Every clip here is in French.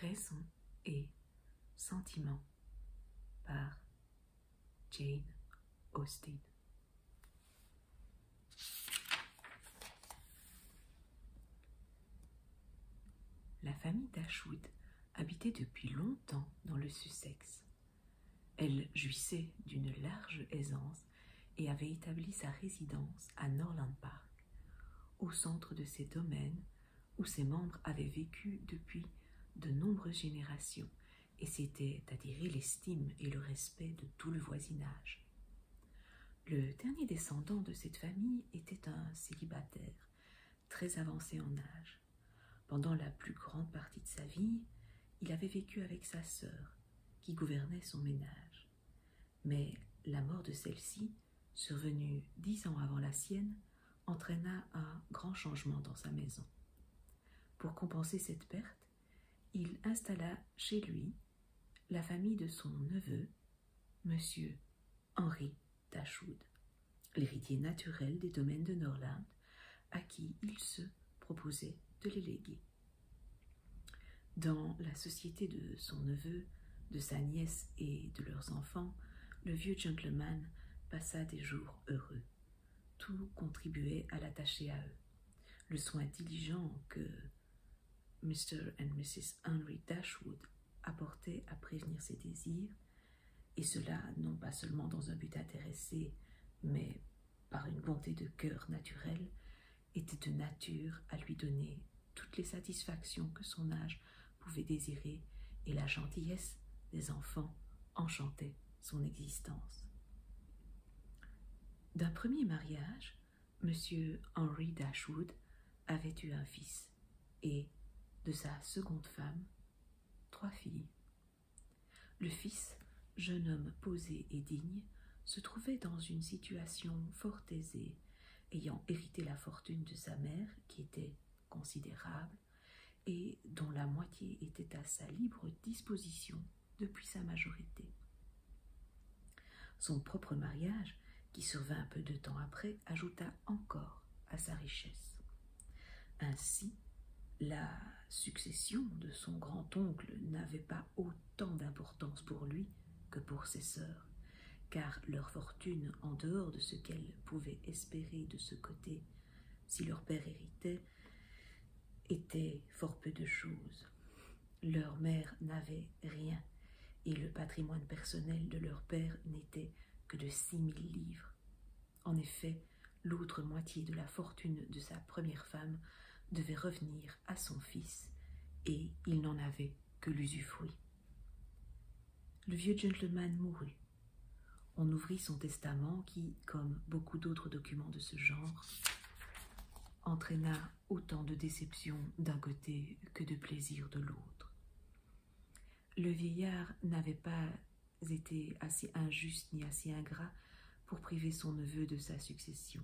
Raison et sentiment par Jane Austen. La famille Dashwood habitait depuis longtemps dans le Sussex. Elle jouissait d'une large aisance et avait établi sa résidence à Norland Park, au centre de ses domaines où ses membres avaient vécu depuis de nombreuses générations et s'étaient attiré l'estime et le respect de tout le voisinage. Le dernier descendant de cette famille était un célibataire, très avancé en âge. Pendant la plus grande partie de sa vie, il avait vécu avec sa sœur, qui gouvernait son ménage mais la mort de celle-ci, survenue dix ans avant la sienne, entraîna un grand changement dans sa maison. Pour compenser cette perte, il installa chez lui la famille de son neveu, Monsieur Henri Dashwood, l'héritier naturel des domaines de Norland, à qui il se proposait de les léguer. Dans la société de son neveu, de sa nièce et de leurs enfants, le vieux gentleman passa des jours heureux. Tout contribuait à l'attacher à eux. Le soin diligent que Mr. et Mrs. Henry Dashwood apportaient à prévenir ses désirs, et cela non pas seulement dans un but intéressé, mais par une bonté de cœur naturelle, était de nature à lui donner toutes les satisfactions que son âge pouvait désirer, et la gentillesse des enfants enchantait son existence. D'un premier mariage, M. Henry Dashwood avait eu un fils et, de sa seconde femme, trois filles. Le fils, jeune homme posé et digne, se trouvait dans une situation fort aisée, ayant hérité la fortune de sa mère, qui était considérable, et dont la moitié était à sa libre disposition depuis sa majorité. Son propre mariage, qui survint peu de temps après, ajouta encore à sa richesse. Ainsi, la succession de son grand-oncle n'avait pas autant d'importance pour lui que pour ses sœurs, car leur fortune, en dehors de ce qu'elles pouvaient espérer de ce côté, si leur père héritait, était fort peu de choses. Leur mère n'avait rien, et le patrimoine personnel de leur père n'était que de six mille livres. En effet, l'autre moitié de la fortune de sa première femme devait revenir à son fils, et il n'en avait que l'usufruit. Le vieux gentleman mourut. On ouvrit son testament qui, comme beaucoup d'autres documents de ce genre, entraîna autant de déception d'un côté que de plaisir de l'autre. Le vieillard n'avait pas été assez injuste ni assez ingrat pour priver son neveu de sa succession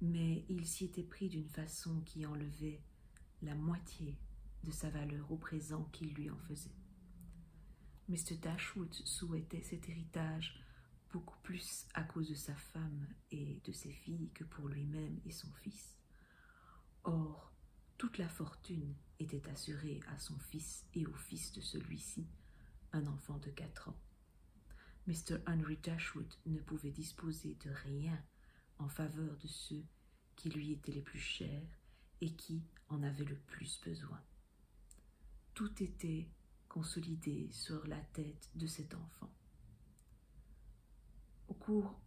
mais il s'y était pris d'une façon qui enlevait la moitié de sa valeur au présent qu'il lui en faisait. Mr. Dashwood souhaitait cet héritage beaucoup plus à cause de sa femme et de ses filles que pour lui-même et son fils. Or, toute la fortune était assurée à son fils et au fils de celui-ci, un enfant de quatre ans. Mr. Henry Dashwood ne pouvait disposer de rien en faveur de ceux qui lui étaient les plus chers et qui en avaient le plus besoin. Tout était consolidé sur la tête de cet enfant. Au cours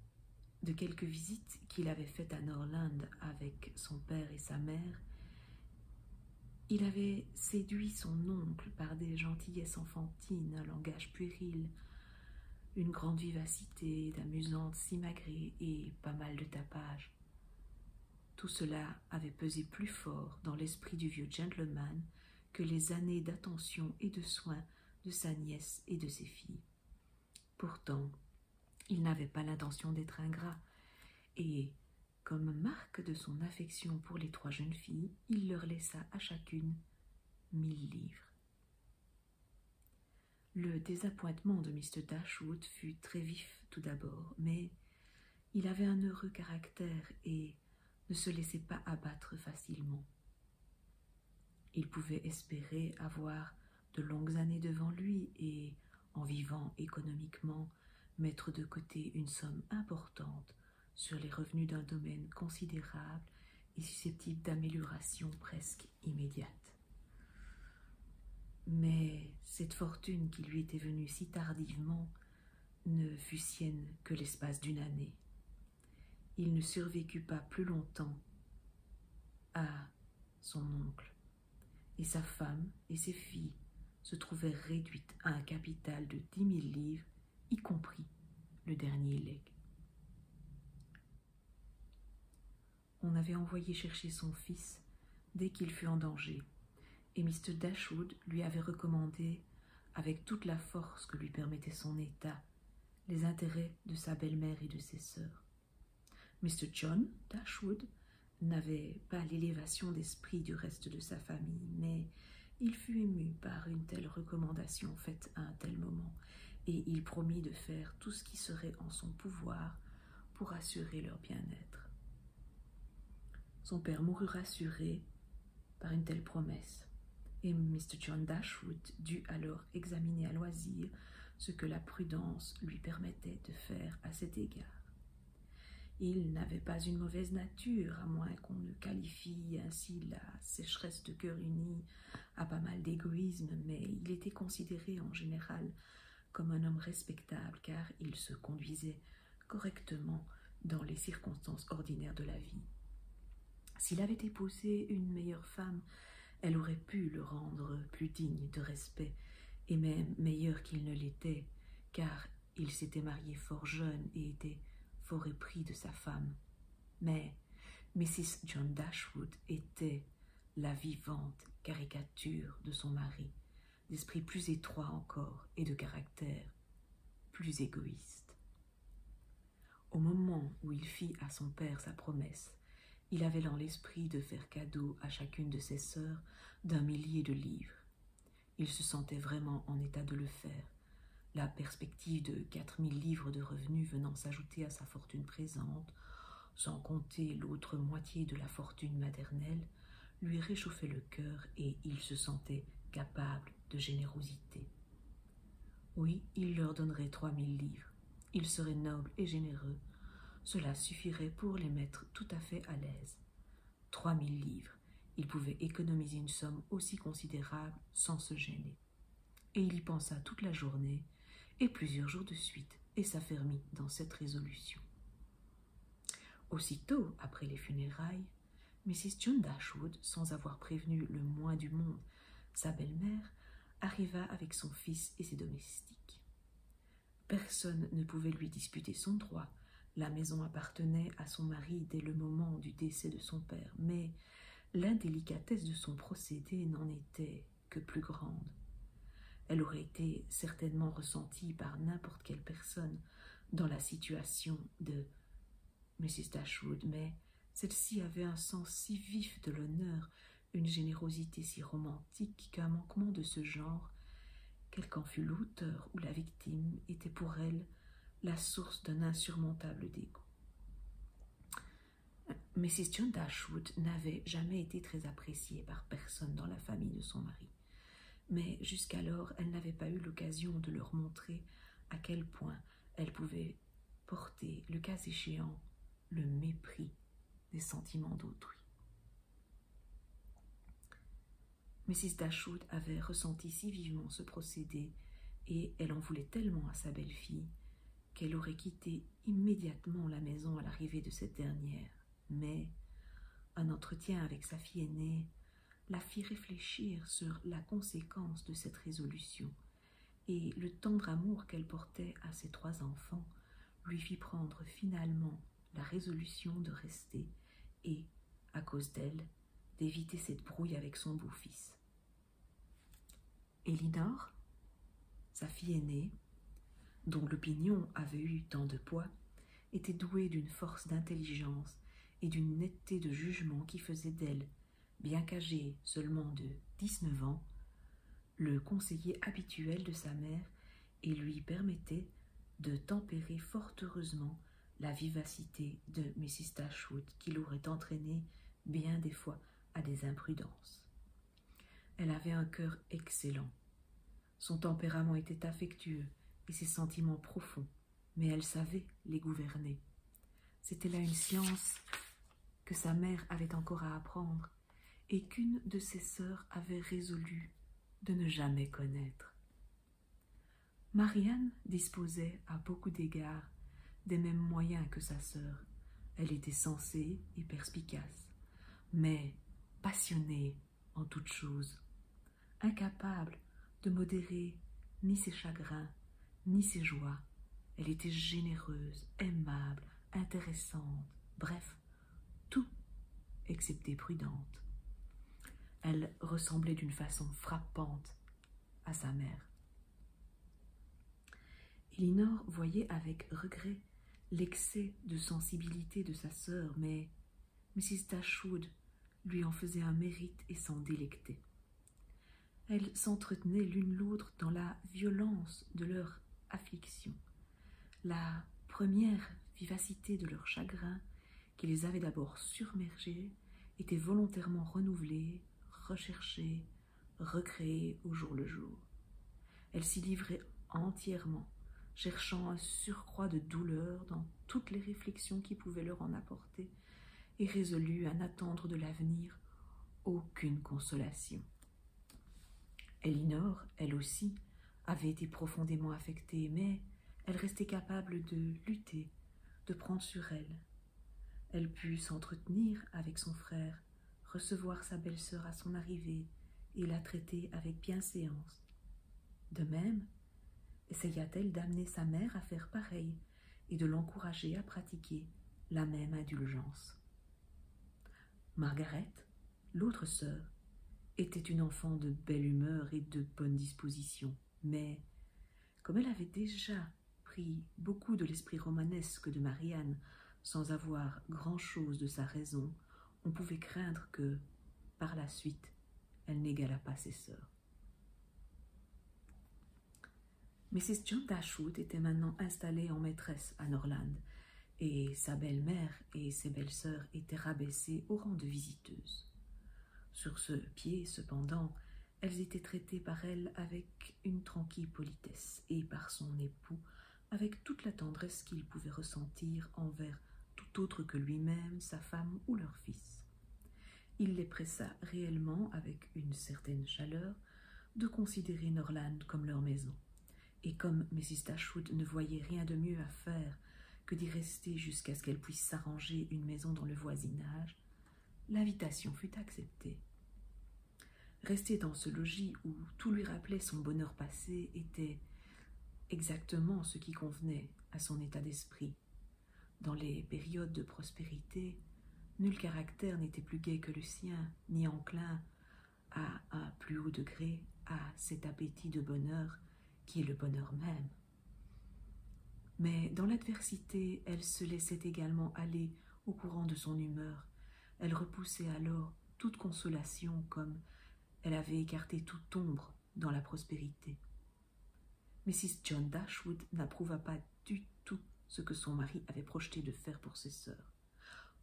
de quelques visites qu'il avait faites à Norland avec son père et sa mère, il avait séduit son oncle par des gentillesses enfantines un langage puéril, une grande vivacité, d'amusante simagrée et pas mal de tapage. Tout cela avait pesé plus fort dans l'esprit du vieux gentleman que les années d'attention et de soins de sa nièce et de ses filles. Pourtant, il n'avait pas l'intention d'être ingrat, et, comme marque de son affection pour les trois jeunes filles, il leur laissa à chacune mille livres. Le désappointement de Mr. Dashwood fut très vif tout d'abord, mais il avait un heureux caractère et ne se laissait pas abattre facilement. Il pouvait espérer avoir de longues années devant lui et, en vivant économiquement, mettre de côté une somme importante sur les revenus d'un domaine considérable et susceptible d'amélioration presque immédiate. Mais cette fortune qui lui était venue si tardivement ne fut sienne que l'espace d'une année. Il ne survécut pas plus longtemps à son oncle, et sa femme et ses filles se trouvèrent réduites à un capital de dix mille livres y compris le dernier leg. On avait envoyé chercher son fils dès qu'il fut en danger, et Mr. Dashwood lui avait recommandé, avec toute la force que lui permettait son état, les intérêts de sa belle-mère et de ses sœurs. Mr. John Dashwood n'avait pas l'élévation d'esprit du reste de sa famille, mais il fut ému par une telle recommandation faite à un tel moment, et il promit de faire tout ce qui serait en son pouvoir pour assurer leur bien-être. Son père mourut rassuré par une telle promesse, et Mr. John Dashwood dut alors examiner à loisir ce que la prudence lui permettait de faire à cet égard. Il n'avait pas une mauvaise nature, à moins qu'on le qualifie ainsi la sécheresse de cœur uni à pas mal d'égoïsme, mais il était considéré en général comme un homme respectable car il se conduisait correctement dans les circonstances ordinaires de la vie. S'il avait épousé une meilleure femme, elle aurait pu le rendre plus digne de respect et même meilleur qu'il ne l'était, car il s'était marié fort jeune et était fort épris de sa femme. Mais Mrs. John Dashwood était la vivante caricature de son mari, d'esprit plus étroit encore et de caractère plus égoïste. Au moment où il fit à son père sa promesse, il avait dans l'esprit de faire cadeau à chacune de ses sœurs d'un millier de livres. Il se sentait vraiment en état de le faire, la perspective de quatre mille livres de revenus venant s'ajouter à sa fortune présente, sans compter l'autre moitié de la fortune maternelle, lui réchauffait le cœur et il se sentait capable de générosité. Oui, il leur donnerait trois mille livres. Il serait noble et généreux. Cela suffirait pour les mettre tout à fait à l'aise. Trois mille livres, il pouvait économiser une somme aussi considérable sans se gêner. Et il y pensa toute la journée et plusieurs jours de suite et s'affermit dans cette résolution. Aussitôt après les funérailles, Mrs. John Dashwood, sans avoir prévenu le moins du monde sa belle-mère, arriva avec son fils et ses domestiques. Personne ne pouvait lui disputer son droit. La maison appartenait à son mari dès le moment du décès de son père, mais l'indélicatesse de son procédé n'en était que plus grande. Elle aurait été certainement ressentie par n'importe quelle personne dans la situation de Mrs. Dashwood, mais celle-ci avait un sens si vif de l'honneur, une générosité si romantique qu'un manquement de ce genre, quel qu'en fût l'auteur ou la victime, était pour elle la source d'un insurmontable dégoût. Mrs. John Dashwood n'avait jamais été très appréciée par personne dans la famille de son mari, mais jusqu'alors elle n'avait pas eu l'occasion de leur montrer à quel point elle pouvait porter, le cas échéant, le mépris des sentiments d'autrui. Mrs. Dashwood avait ressenti si vivement ce procédé, et elle en voulait tellement à sa belle-fille, qu'elle aurait quitté immédiatement la maison à l'arrivée de cette dernière. Mais un entretien avec sa fille aînée la fit réfléchir sur la conséquence de cette résolution, et le tendre amour qu'elle portait à ses trois enfants lui fit prendre finalement la résolution de rester et, à cause d'elle, d'éviter cette brouille avec son beau-fils. Elinor, sa fille aînée, dont l'opinion avait eu tant de poids, était douée d'une force d'intelligence et d'une netteté de jugement qui faisait d'elle, bien qu'âgée seulement de dix-neuf ans, le conseiller habituel de sa mère et lui permettait de tempérer fort heureusement la vivacité de Mrs. Dashwood qui l'aurait entraînée bien des fois à des imprudences. Elle avait un cœur excellent. Son tempérament était affectueux et ses sentiments profonds, mais elle savait les gouverner. C'était là une science que sa mère avait encore à apprendre et qu'une de ses sœurs avait résolu de ne jamais connaître. Marianne disposait à beaucoup d'égards des mêmes moyens que sa sœur. Elle était sensée et perspicace, mais passionnée en toutes choses, incapable de modérer ni ses chagrins, ni ses joies. Elle était généreuse, aimable, intéressante, bref, tout excepté prudente. Elle ressemblait d'une façon frappante à sa mère. Elinor voyait avec regret l'excès de sensibilité de sa sœur, mais Mrs. Dashwood lui en faisait un mérite et s'en délectait. Elles s'entretenaient l'une l'autre dans la violence de leur affliction, la première vivacité de leur chagrin, qui les avait d'abord surmergées était volontairement renouvelée recherchée, recréer au jour le jour. Elle s'y livrait entièrement, cherchant un surcroît de douleur dans toutes les réflexions qui pouvaient leur en apporter, et résolue à n'attendre de l'avenir aucune consolation. Elinor, elle aussi, avait été profondément affectée, mais elle restait capable de lutter, de prendre sur elle, elle put s'entretenir avec son frère, recevoir sa belle-sœur à son arrivée et la traiter avec bienséance. De même, essaya-t-elle d'amener sa mère à faire pareil et de l'encourager à pratiquer la même indulgence. Margaret, l'autre sœur, était une enfant de belle humeur et de bonne disposition, mais comme elle avait déjà pris beaucoup de l'esprit romanesque de Marianne sans avoir grand-chose de sa raison, on pouvait craindre que, par la suite, elle n'égalât pas ses sœurs. Mrs. John Dashwood était maintenant installée en maîtresse à Norland, et sa belle-mère et ses belles-sœurs étaient rabaissées au rang de visiteuses. Sur ce pied, cependant, elles étaient traitées par elle avec une tranquille politesse et par son époux avec toute la tendresse qu'il pouvait ressentir envers tout autre que lui-même, sa femme ou leur fils. Il les pressa réellement, avec une certaine chaleur, de considérer Norland comme leur maison. Et comme Mrs. Dashwood ne voyait rien de mieux à faire que d'y rester jusqu'à ce qu'elle puisse s'arranger une maison dans le voisinage, l'invitation fut acceptée. Rester dans ce logis où tout lui rappelait son bonheur passé était exactement ce qui convenait à son état d'esprit. Dans les périodes de prospérité, nul caractère n'était plus gai que le sien, ni enclin à un plus haut degré à cet appétit de bonheur qui est le bonheur même. Mais dans l'adversité, elle se laissait également aller au courant de son humeur. Elle repoussait alors toute consolation comme elle avait écarté toute ombre dans la prospérité. Mrs. John Dashwood n'approuva pas du tout ce que son mari avait projeté de faire pour ses sœurs.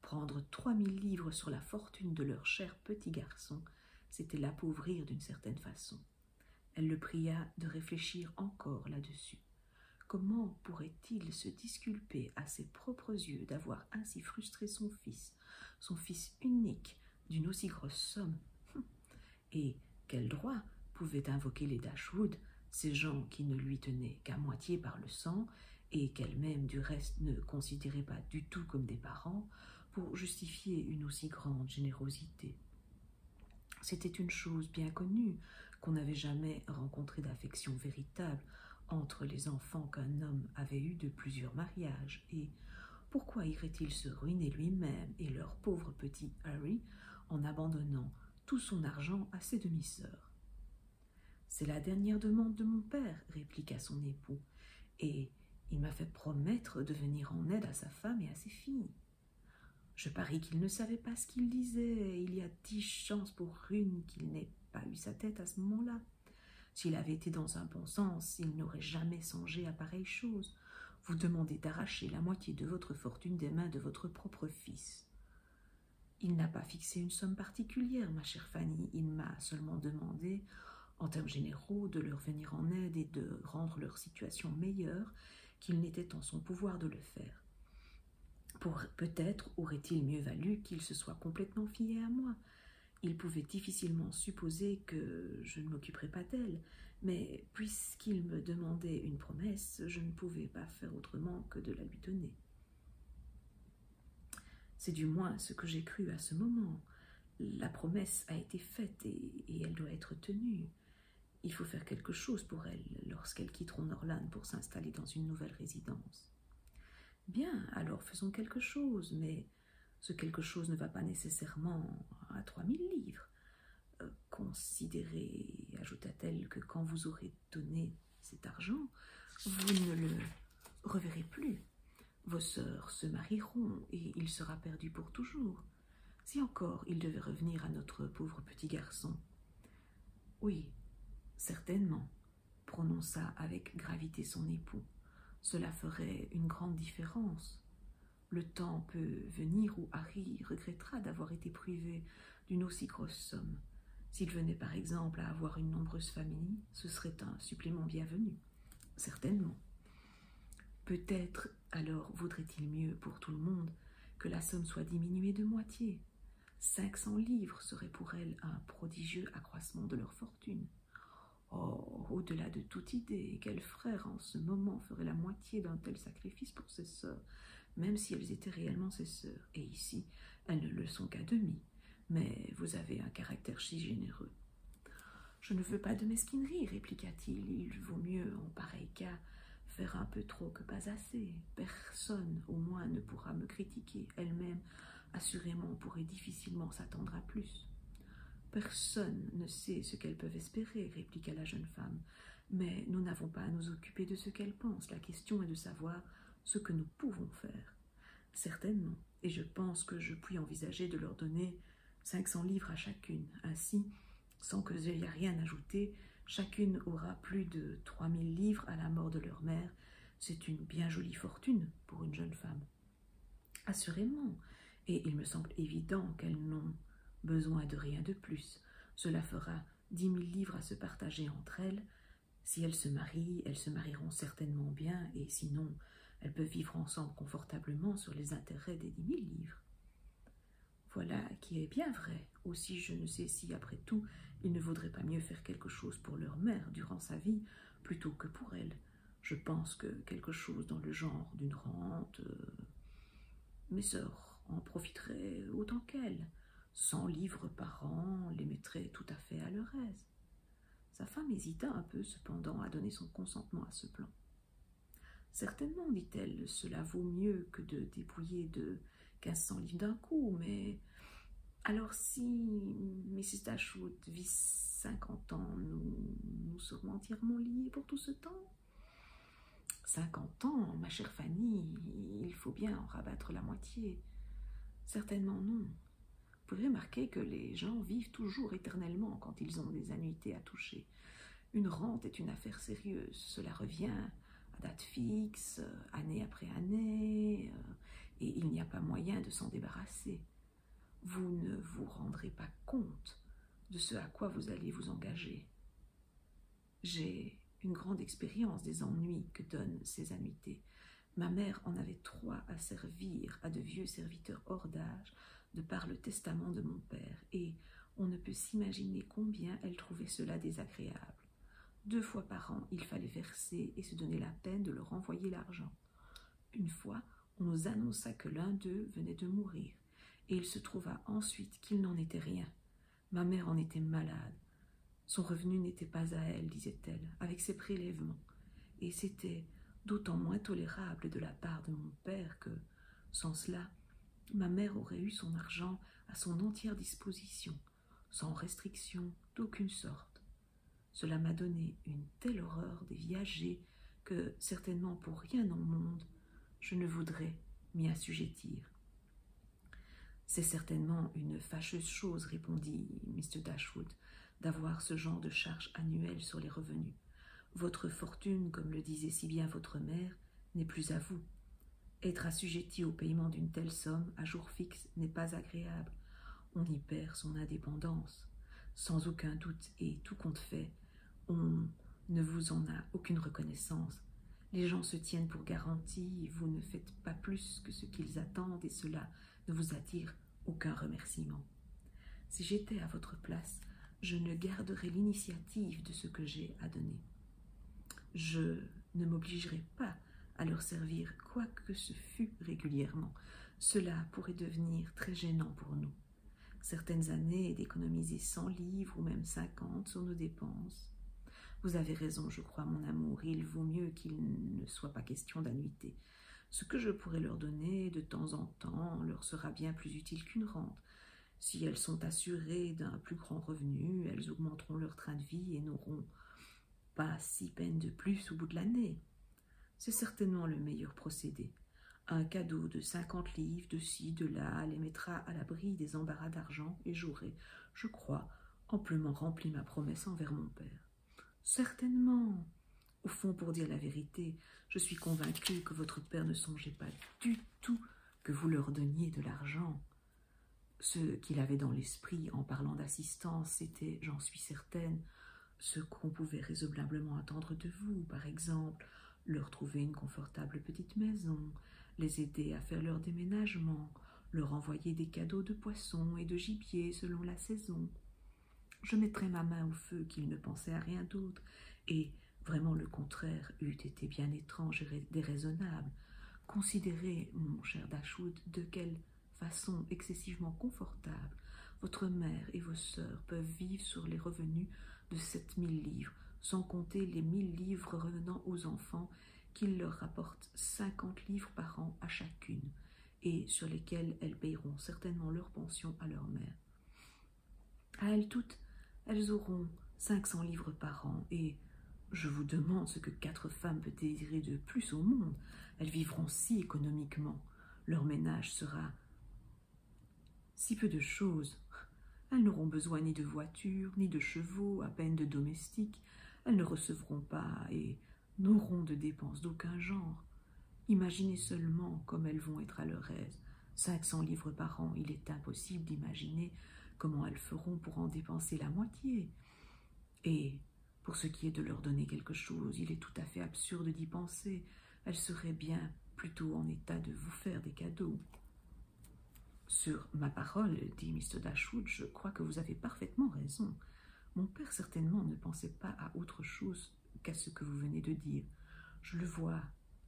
Prendre trois mille livres sur la fortune de leur cher petit garçon, c'était l'appauvrir d'une certaine façon. Elle le pria de réfléchir encore là-dessus. Comment pourrait-il se disculper à ses propres yeux d'avoir ainsi frustré son fils, son fils unique, d'une aussi grosse somme hum. Et quel droit pouvaient invoquer les Dashwood, ces gens qui ne lui tenaient qu'à moitié par le sang, et qu'elle-même du reste ne considérait pas du tout comme des parents, pour justifier une aussi grande générosité c'était une chose bien connue qu'on n'avait jamais rencontré d'affection véritable entre les enfants qu'un homme avait eus de plusieurs mariages, et pourquoi irait-il se ruiner lui-même et leur pauvre petit Harry en abandonnant tout son argent à ses demi-sœurs C'est la dernière demande de mon père, répliqua son époux, et il m'a fait promettre de venir en aide à sa femme et à ses filles. Je parie qu'il ne savait pas ce qu'il disait, il y a dix chances pour une qu'il n'ait pas eu sa tête à ce moment-là. S'il avait été dans un bon sens, il n'aurait jamais songé à pareille chose. Vous demandez d'arracher la moitié de votre fortune des mains de votre propre fils. Il n'a pas fixé une somme particulière, ma chère Fanny, il m'a seulement demandé, en termes généraux, de leur venir en aide et de rendre leur situation meilleure qu'il n'était en son pouvoir de le faire. Peut-être aurait-il mieux valu qu'il se soit complètement fié à moi. Il pouvait difficilement supposer que je ne m'occuperais pas d'elle, mais puisqu'il me demandait une promesse, je ne pouvais pas faire autrement que de la lui donner. C'est du moins ce que j'ai cru à ce moment. La promesse a été faite et, et elle doit être tenue. Il faut faire quelque chose pour elle lorsqu'elles quitteront Norlan pour s'installer dans une nouvelle résidence. Bien, alors faisons quelque chose, mais ce quelque chose ne va pas nécessairement à trois mille livres. Euh, considérez, ajouta-t-elle, que quand vous aurez donné cet argent, vous ne le reverrez plus. Vos sœurs se marieront et il sera perdu pour toujours. Si encore il devait revenir à notre pauvre petit garçon, oui, certainement, prononça avec gravité son époux. Cela ferait une grande différence. Le temps peut venir où Harry regrettera d'avoir été privé d'une aussi grosse somme. S'il venait par exemple à avoir une nombreuse famille, ce serait un supplément bienvenu. Certainement. Peut-être alors vaudrait-il mieux pour tout le monde que la somme soit diminuée de moitié. Cinq cents livres seraient pour elles un prodigieux accroissement de leur fortune. Oh, au-delà de toute idée, quel frère en ce moment ferait la moitié d'un tel sacrifice pour ses sœurs, même si elles étaient réellement ses sœurs, et ici, elles ne le sont qu'à demi. Mais vous avez un caractère si généreux. Je ne veux pas de mesquinerie, répliqua-t-il. Il vaut mieux, en pareil cas, Faire un peu trop que pas assez. Personne, au moins, ne pourra me critiquer. Elle-même, assurément, pourrait difficilement s'attendre à plus. Personne ne sait ce qu'elles peuvent espérer, répliqua la jeune femme. Mais nous n'avons pas à nous occuper de ce qu'elles pensent. La question est de savoir ce que nous pouvons faire. Certainement, et je pense que je puis envisager de leur donner cinq cents livres à chacune. Ainsi, sans que je a rien ajouter, chacune aura plus de trois mille livres à la mort de leur mère. C'est une bien jolie fortune pour une jeune femme. Assurément, et il me semble évident qu'elles n'ont besoin de rien de plus. Cela fera dix mille livres à se partager entre elles. Si elles se marient, elles se marieront certainement bien, et sinon, elles peuvent vivre ensemble confortablement sur les intérêts des dix mille livres. Voilà qui est bien vrai. Aussi, je ne sais si, après tout, il ne vaudrait pas mieux faire quelque chose pour leur mère durant sa vie plutôt que pour elle. Je pense que quelque chose dans le genre d'une rente. Euh, mes sœurs en profiteraient autant qu'elles. Cent livres par an les mettraient tout à fait à leur aise. Sa femme hésita un peu, cependant, à donner son consentement à ce plan. Certainement, dit-elle, cela vaut mieux que de dépouiller de 1500 livres d'un coup, mais alors si Mrs. Dashwood vit 50 ans, nous, nous serons entièrement liés pour tout ce temps 50 ans, ma chère Fanny, il faut bien en rabattre la moitié. Certainement non. Vous pouvez remarquer que les gens vivent toujours éternellement quand ils ont des annuités à toucher. Une rente est une affaire sérieuse, cela revient euh, à date fixe, euh, année après année, euh, et il n'y a pas moyen de s'en débarrasser. Vous ne vous rendrez pas compte de ce à quoi vous allez vous engager. J'ai une grande expérience des ennuis que donnent ces amitiés. Ma mère en avait trois à servir à de vieux serviteurs hors d'âge, de par le testament de mon père, et on ne peut s'imaginer combien elle trouvait cela désagréable. Deux fois par an, il fallait verser et se donner la peine de leur envoyer l'argent. Une fois, on nous annonça que l'un d'eux venait de mourir, et il se trouva ensuite qu'il n'en était rien. Ma mère en était malade. Son revenu n'était pas à elle, disait-elle, avec ses prélèvements, et c'était d'autant moins tolérable de la part de mon père que, sans cela, Ma mère aurait eu son argent à son entière disposition, sans restriction d'aucune sorte. Cela m'a donné une telle horreur des viagers que, certainement pour rien au monde, je ne voudrais m'y assujettir. C'est certainement une fâcheuse chose, répondit Mr. Dashwood, d'avoir ce genre de charge annuelle sur les revenus. Votre fortune, comme le disait si bien votre mère, n'est plus à vous. Être assujetti au paiement d'une telle somme à jour fixe n'est pas agréable. On y perd son indépendance. Sans aucun doute et tout compte fait, on ne vous en a aucune reconnaissance. Les gens se tiennent pour garantie, vous ne faites pas plus que ce qu'ils attendent et cela ne vous attire aucun remerciement. Si j'étais à votre place, je ne garderais l'initiative de ce que j'ai à donner. Je ne m'obligerait pas à leur servir, quoi que ce fût régulièrement. Cela pourrait devenir très gênant pour nous. Certaines années d'économiser 100 livres ou même cinquante sur nos dépenses. Vous avez raison, je crois, mon amour, il vaut mieux qu'il ne soit pas question d'annuité. Ce que je pourrais leur donner de temps en temps leur sera bien plus utile qu'une rente. Si elles sont assurées d'un plus grand revenu, elles augmenteront leur train de vie et n'auront pas six peines de plus au bout de l'année. C'est certainement le meilleur procédé. Un cadeau de cinquante livres, de ci, de là, les mettra à l'abri des embarras d'argent et j'aurai, je crois, amplement rempli ma promesse envers mon père. Certainement. Au fond, pour dire la vérité, je suis convaincue que votre père ne songeait pas du tout que vous leur donniez de l'argent. Ce qu'il avait dans l'esprit en parlant d'assistance, c'était, j'en suis certaine, ce qu'on pouvait raisonnablement attendre de vous, par exemple, leur trouver une confortable petite maison, les aider à faire leur déménagement, leur envoyer des cadeaux de poissons et de gibier selon la saison. Je mettrais ma main au feu qu'il ne pensait à rien d'autre, et vraiment le contraire eût été bien étrange et déraisonnable, Considérez, mon cher Dashwood, de quelle façon excessivement confortable votre mère et vos sœurs peuvent vivre sur les revenus de sept mille livres, sans compter les mille livres revenant aux enfants qu'ils leur rapportent cinquante livres par an à chacune, et sur lesquels elles paieront certainement leur pension à leur mère. À elles toutes, elles auront cinq cents livres par an, et je vous demande ce que quatre femmes peuvent désirer de plus au monde. Elles vivront si économiquement. Leur ménage sera si peu de choses. Elles n'auront besoin ni de voitures, ni de chevaux, à peine de domestiques. Elles ne recevront pas et n'auront de dépenses d'aucun genre. Imaginez seulement comme elles vont être à leur aise. Cinq cents livres par an, il est impossible d'imaginer comment elles feront pour en dépenser la moitié. Et pour ce qui est de leur donner quelque chose, il est tout à fait absurde d'y penser. Elles seraient bien plutôt en état de vous faire des cadeaux. Sur ma parole, dit Mr. Dashwood, je crois que vous avez parfaitement raison. Mon père certainement ne pensait pas à autre chose qu'à ce que vous venez de dire. Je le vois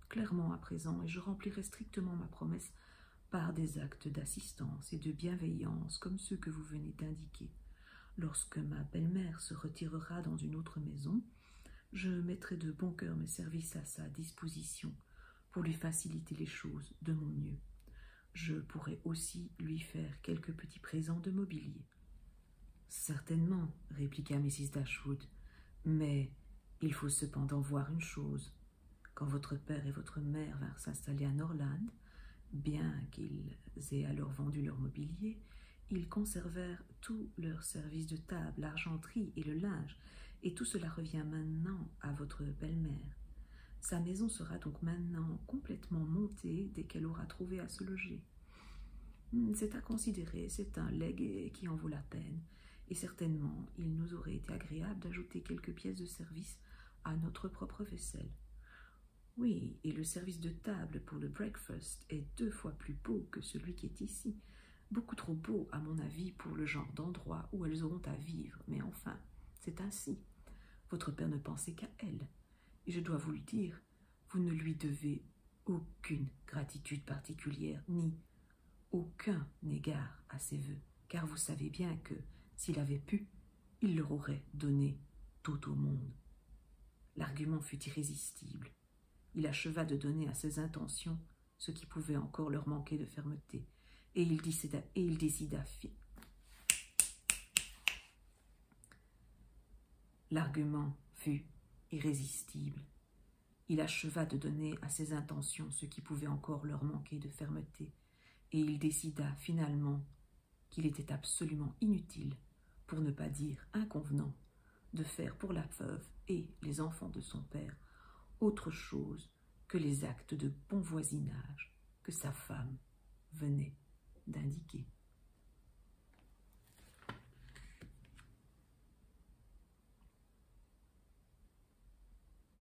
clairement à présent et je remplirai strictement ma promesse par des actes d'assistance et de bienveillance comme ceux que vous venez d'indiquer. Lorsque ma belle-mère se retirera dans une autre maison, je mettrai de bon cœur mes services à sa disposition pour lui faciliter les choses de mon mieux. Je pourrai aussi lui faire quelques petits présents de mobilier. Certainement, répliqua Mrs. Dashwood, mais il faut cependant voir une chose. Quand votre père et votre mère vinrent s'installer à Norland, bien qu'ils aient alors vendu leur mobilier, ils conservèrent tous leurs services de table, l'argenterie et le linge, et tout cela revient maintenant à votre belle-mère. Sa maison sera donc maintenant complètement montée dès qu'elle aura trouvé à se loger. Hmm, c'est à considérer, c'est un legs qui en vaut la peine, et certainement il nous aurait été agréable d'ajouter quelques pièces de service à notre propre vaisselle. Oui, et le service de table pour le breakfast est deux fois plus beau que celui qui est ici. Beaucoup trop beau, à mon avis, pour le genre d'endroit où elles auront à vivre, mais enfin, c'est ainsi. Votre père ne pensait qu'à elle. Et je dois vous le dire, vous ne lui devez aucune gratitude particulière, ni aucun égard à ses vœux car vous savez bien que, s'il avait pu, il leur aurait donné tout au monde. L'argument fut irrésistible. Il acheva de donner à ses intentions ce qui pouvait encore leur manquer de fermeté, et il décida, L'argument fut irrésistible. Il acheva de donner à ses intentions ce qui pouvait encore leur manquer de fermeté, et il décida finalement qu'il était absolument inutile, pour ne pas dire inconvenant, de faire pour la veuve et les enfants de son père autre chose que les actes de bon voisinage que sa femme venait d'indiquer.